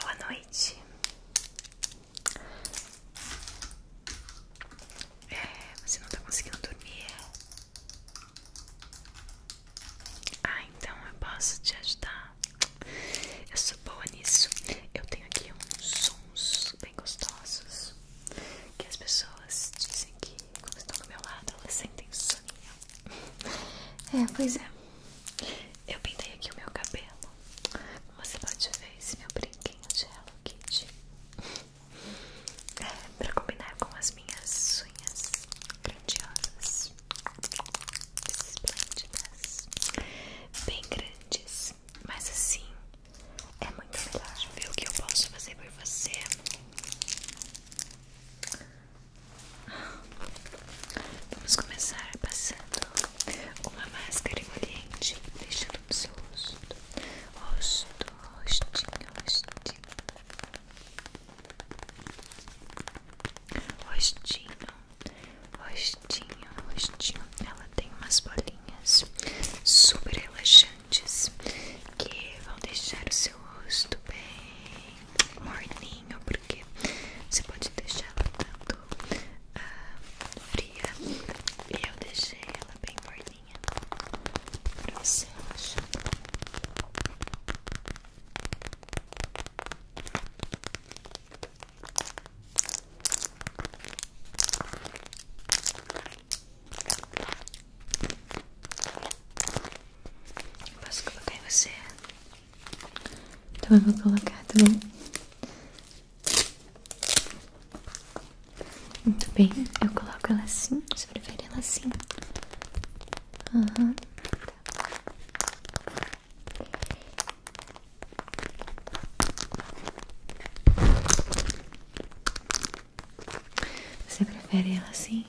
Boa noite. É, você não está conseguindo dormir? É? Ah, então eu posso te ajudar. Eu sou boa nisso. Eu tenho aqui uns sons bem gostosos que as pessoas dizem que quando estão do meu lado elas sentem soninho. É, pois é. Eu pintei aqui o meu cabelo. Você pode ver esse meu brinquinho de Hello Kitty. É, pra combinar com as minhas unhas grandiosas. Esplêndidas. Bem grandes. Mas assim, é muito melhor ver o que eu posso fazer por você. Vamos começar passando uma máscara emoliente, deixando no seu rosto, rosto, rostinho, rostinho, rostinho, rostinho, rostinho. Ela tem umas bolinhas super relaxantes que vão deixar o seu rosto bem morninho, porque você pode deixar ela tanto ah, fria e eu deixei ela bem morninha pra você relaxar. Posso colocar em você? Então eu vou colocar, tá bom? Muito bem, eu coloco ela assim, assim. Tá. você prefere ela assim? Aham, Você prefere ela assim?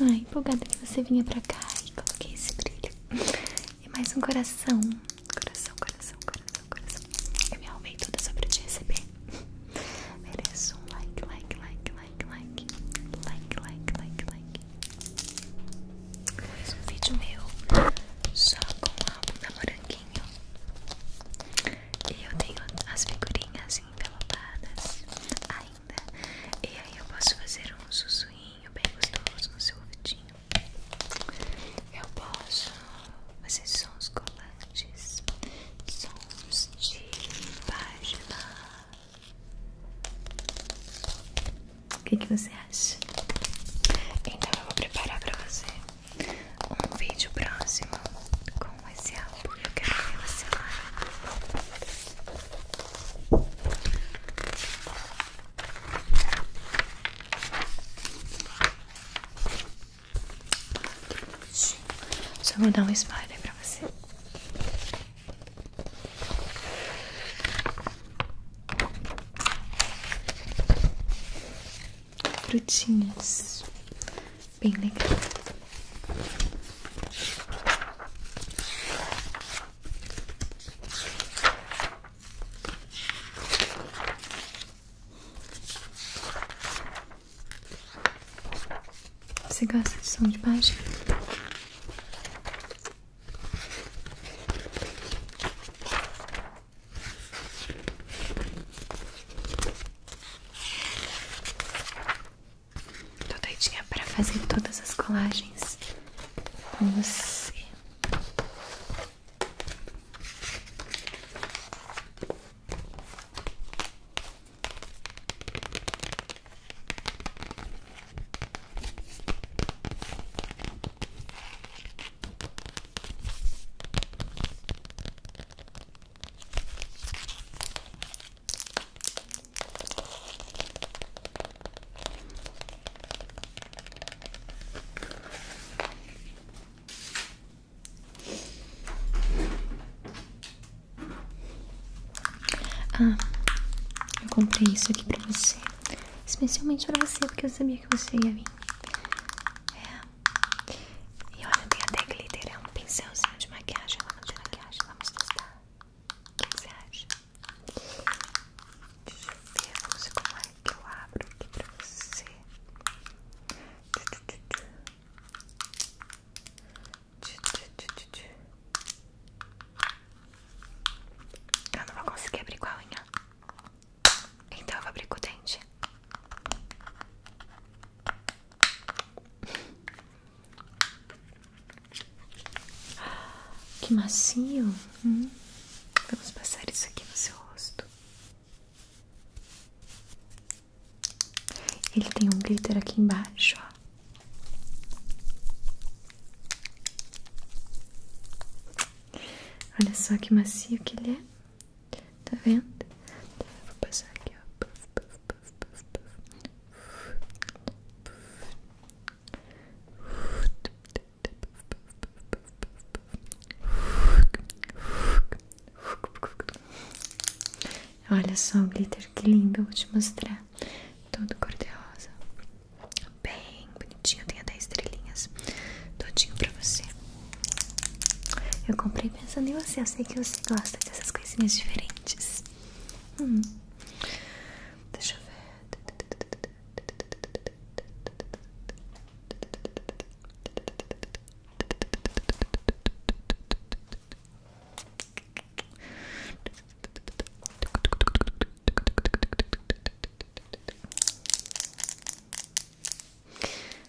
Ai, empolgada que você vinha pra cá e coloquei esse brilho. E mais um coração. Coração, coração, coração, coração. Eu me arrumei toda sobre pra te receber. Mereço um like, like, like, like, like. Like, like, like, like. Mais um vídeo meu só com o álbum da E eu tenho as figurinhas envelopadas. Ai, e aí eu posso fazer um sussurrinho bem gostoso no seu ouvidinho Eu posso fazer sons colantes Sons de página O que, você acha? Então eu vou preparar pra fazer um vídeo próximo com Eu quero ver você Só vou dar um spoiler pra você. Frutinhas bem legal. Você gosta de som de baixo? Tô doidinha pra fazer todas as colagens com você. Ah, eu comprei isso aqui pra você. Especialmente pra você, porque eu sabia que você ia vir. É. E olha, eu tenho até glitter, é um pincelzinho de maquiagem, lama de maquiagem, vamos testar. O que você acha? Deixa eu ver, vamos ver como é que eu abro aqui pra você. Eu não vou conseguir abrir com a unha. Então eu vou abrir com o dente. Que macio. Hum. Vamos passar isso aqui no seu rosto. Ele tem um glitter aqui embaixo, Olha só que macio que ele é. Tá vendo? Vou passar aqui, ó. Olha só o glitter, que lindo. vou te mostrar. tudo cor de rosa. Bem bonitinho, tem até estrelinhas. Todinho pra você. Eu comprei pensando em você, eu sei que você gosta dessas coisinhas diferentes. Hum. Deixa eu ver.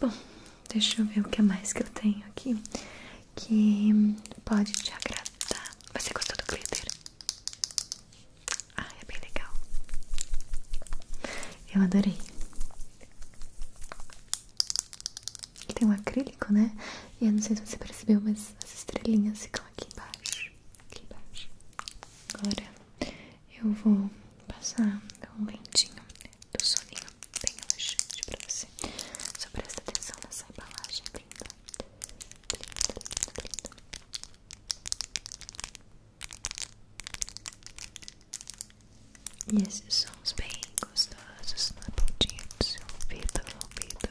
Bom, deixa eu ver o que mais que eu tenho aqui que pode te agradar. Você gostou do glitter? Ah, é bem legal. Eu adorei. Ele tem um acrílico, né? E eu não sei se você percebeu, mas as estrelinhas ficam aqui embaixo. Aqui embaixo. Agora eu vou passar um lentinho do soninho bem relaxante pra você. Só presta atenção nessa embalagem linda. Linda, linda, linda. E esses sons bem gostosos na pontinha do seu ouvido, ouvido.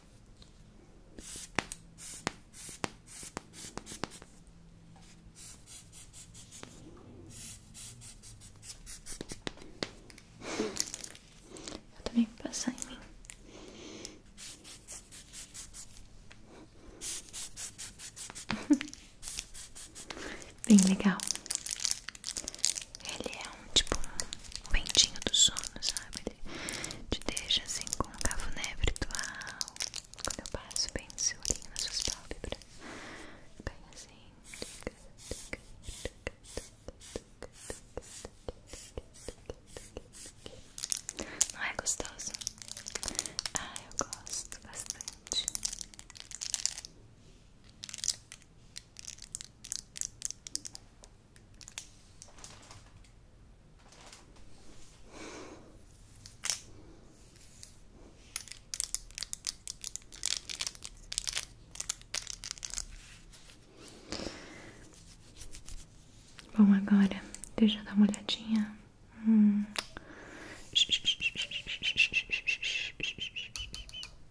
Eu também vou em mim. Bem legal. Ele é tipo um ventinho do sono, sabe? Ele te deixa assim com um cafuné virtual. Quando eu passo bem de seu olhinho nas suas pálpebras, bem assim. Não é gostoso? ai ah, eu gosto bastante. Bom, agora deixa eu dar uma olhadinha. Hum.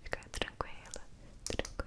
Fica tranquila, tranquila.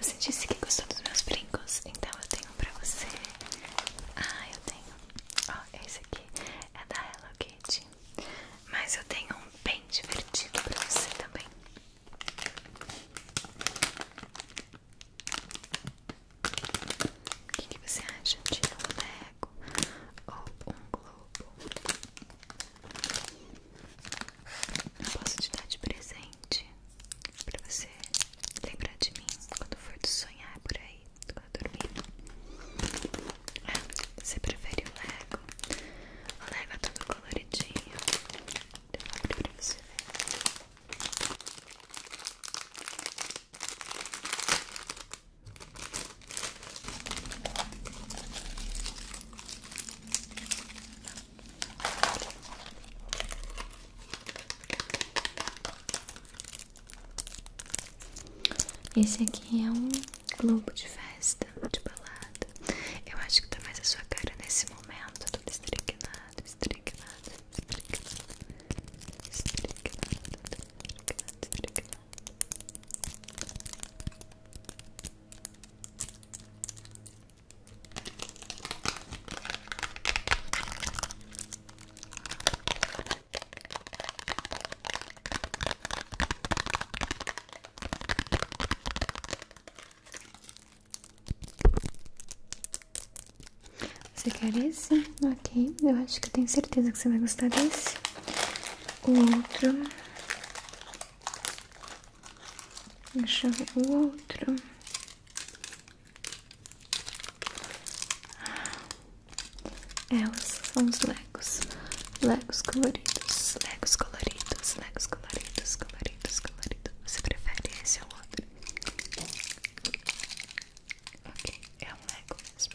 Você disse que gostou dos meus brincos, então eu tenho pra você. Ah, eu tenho. Ó, oh, esse aqui é da Hello Kitty. Mas eu tenho um bem divertido pra você também. O que, que você acha de um boneco ou um globo? Eu posso te dar de presente pra você lembrar de mim quando for de sonhar por aí, quando dormir. Ah, você prefere o Lego? O Lego é todo coloridinho. Eu vou abrir pra você ver. Esse aqui é um globo de festa, de balada. Eu acho que tá mais a sua cara nesse momento. Tudo estrignado, estrignado, estrignado, estrignado, estrignado, estrignado. Você quer esse? Ok, eu acho que tenho certeza que você vai gostar desse o outro. Deixa eu o outro. É, são os legos. Legos coloridos, legos coloridos, legos coloridos, coloridos, coloridos. Você prefere esse ou outro? Ok, é um lego mesmo.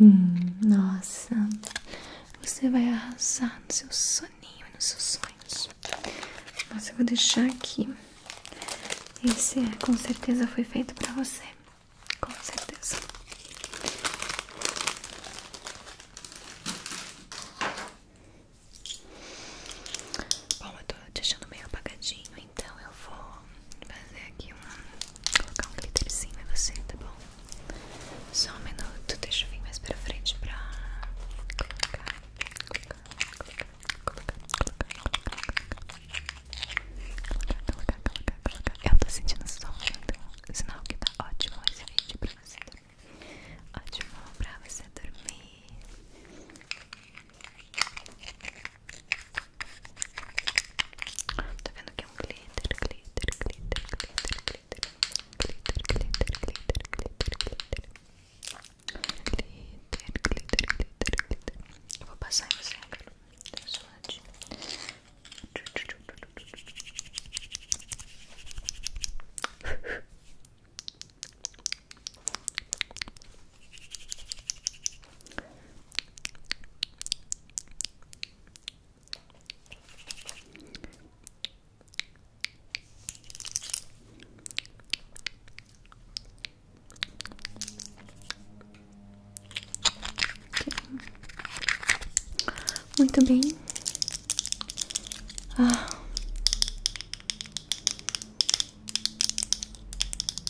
Hum, nossa, você vai arrasar no seu soninho nos seus sonhos. Nossa, eu vou deixar aqui. Esse é, com certeza foi feito pra você. Com certeza. Bom, eu tô achando meio apagadinho, então eu vou fazer aqui um. colocar um glitterzinho em você, tá bom? Só um minuto, deixa eu vir mais pra frente pra colocar, colocar, colocar, colocar, Eu tô sentindo som, então, sinal que tá ótimo esse vídeo pra você dormir. Ótimo pra você dormir. Tá vendo que é um glitter, glitter, glitter, glitter, glitter, glitter, glitter, glitter, glitter, glitter. Glitter, glitter, glitter, glitter. Eu vou passar em você agora. Só glitter muito bem. Ah.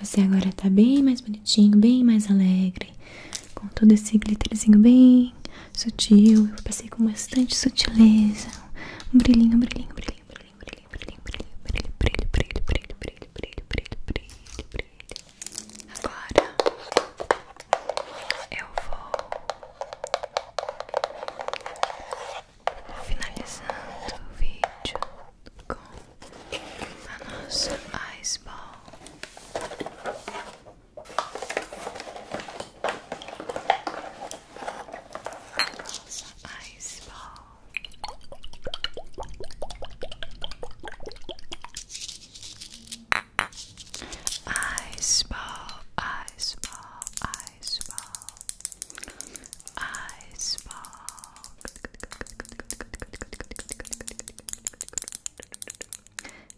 Você agora tá bem mais bonitinho, bem mais alegre, com todo esse glitterzinho bem sutil. Eu passei com bastante sutileza. Um brilhinho, um brilhinho, um brilhinho, um brilhinho, um brilhinho, um brilhinho, um brilhinho, brilho, brilho, brilho, brilho, brilho, brilho, brilho, brilho. Agora eu vou finalizando o vídeo com a ice ball. Nossa ice ball. Ice ball, ice ball, ice ball, ice ball.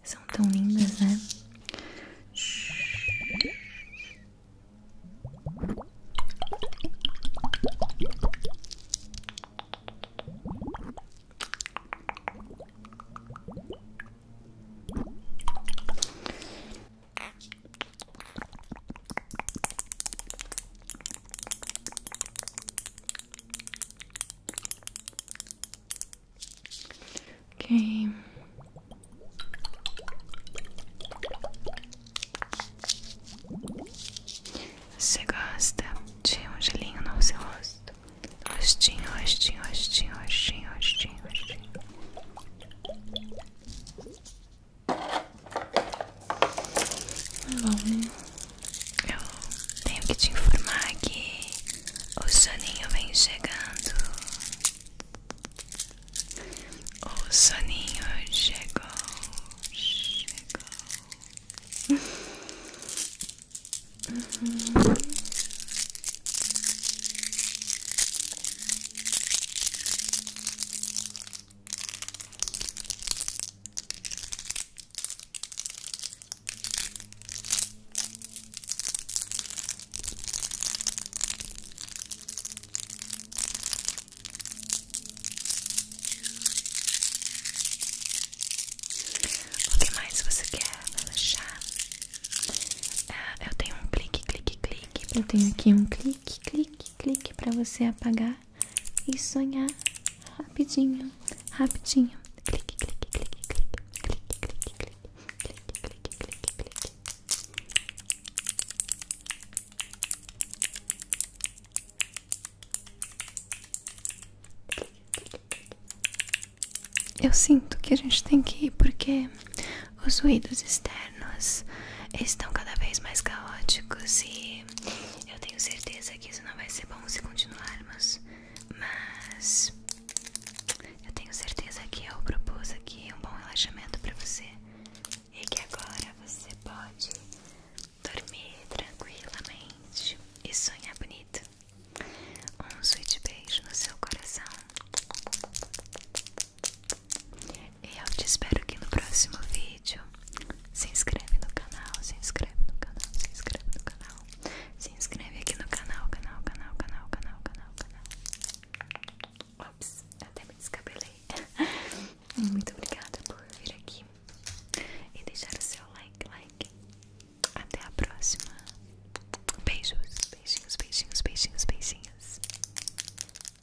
São tão lindas, né? Ok. Você gosta de um gelinho no seu rosto? Rostinho, rostinho, rostinho, rostinho, rostinho, rostinho. Né? eu tenho que te informar que o soninho vem chegando. O soninho chegou, chegou. Uhum. O que mais você quer relaxar? Ah, eu tenho um clique, clique, clique. Eu tenho aqui um clique, clique, clique para você apagar e sonhar rapidinho, rapidinho. Clique, clique, clique, clique, clique, clique, clique, clique, clique, clique, clique. Eu sinto que a gente tem que ir porque os ruídos externos estão cada vez mais caóticos e eu tenho certeza que isso não vai ser bom se continuarmos. Mas eu tenho certeza que eu propus aqui um bom relaxamento para você e que agora você pode dormir tranquilamente e sonhar bonito. Um sweet beijo no seu coração. E Eu te espero aqui no próximo vídeo. Se inscreve no canal, se inscreve no canal, se inscreve no canal. Se inscreve aqui no canal, canal, canal, canal, canal, canal, canal. Ops, até me descabelei. Muito obrigada por vir aqui e deixar o seu like, like. Até a próxima. Beijos, beijinhos, beijinhos, beijinhos, beijinhos.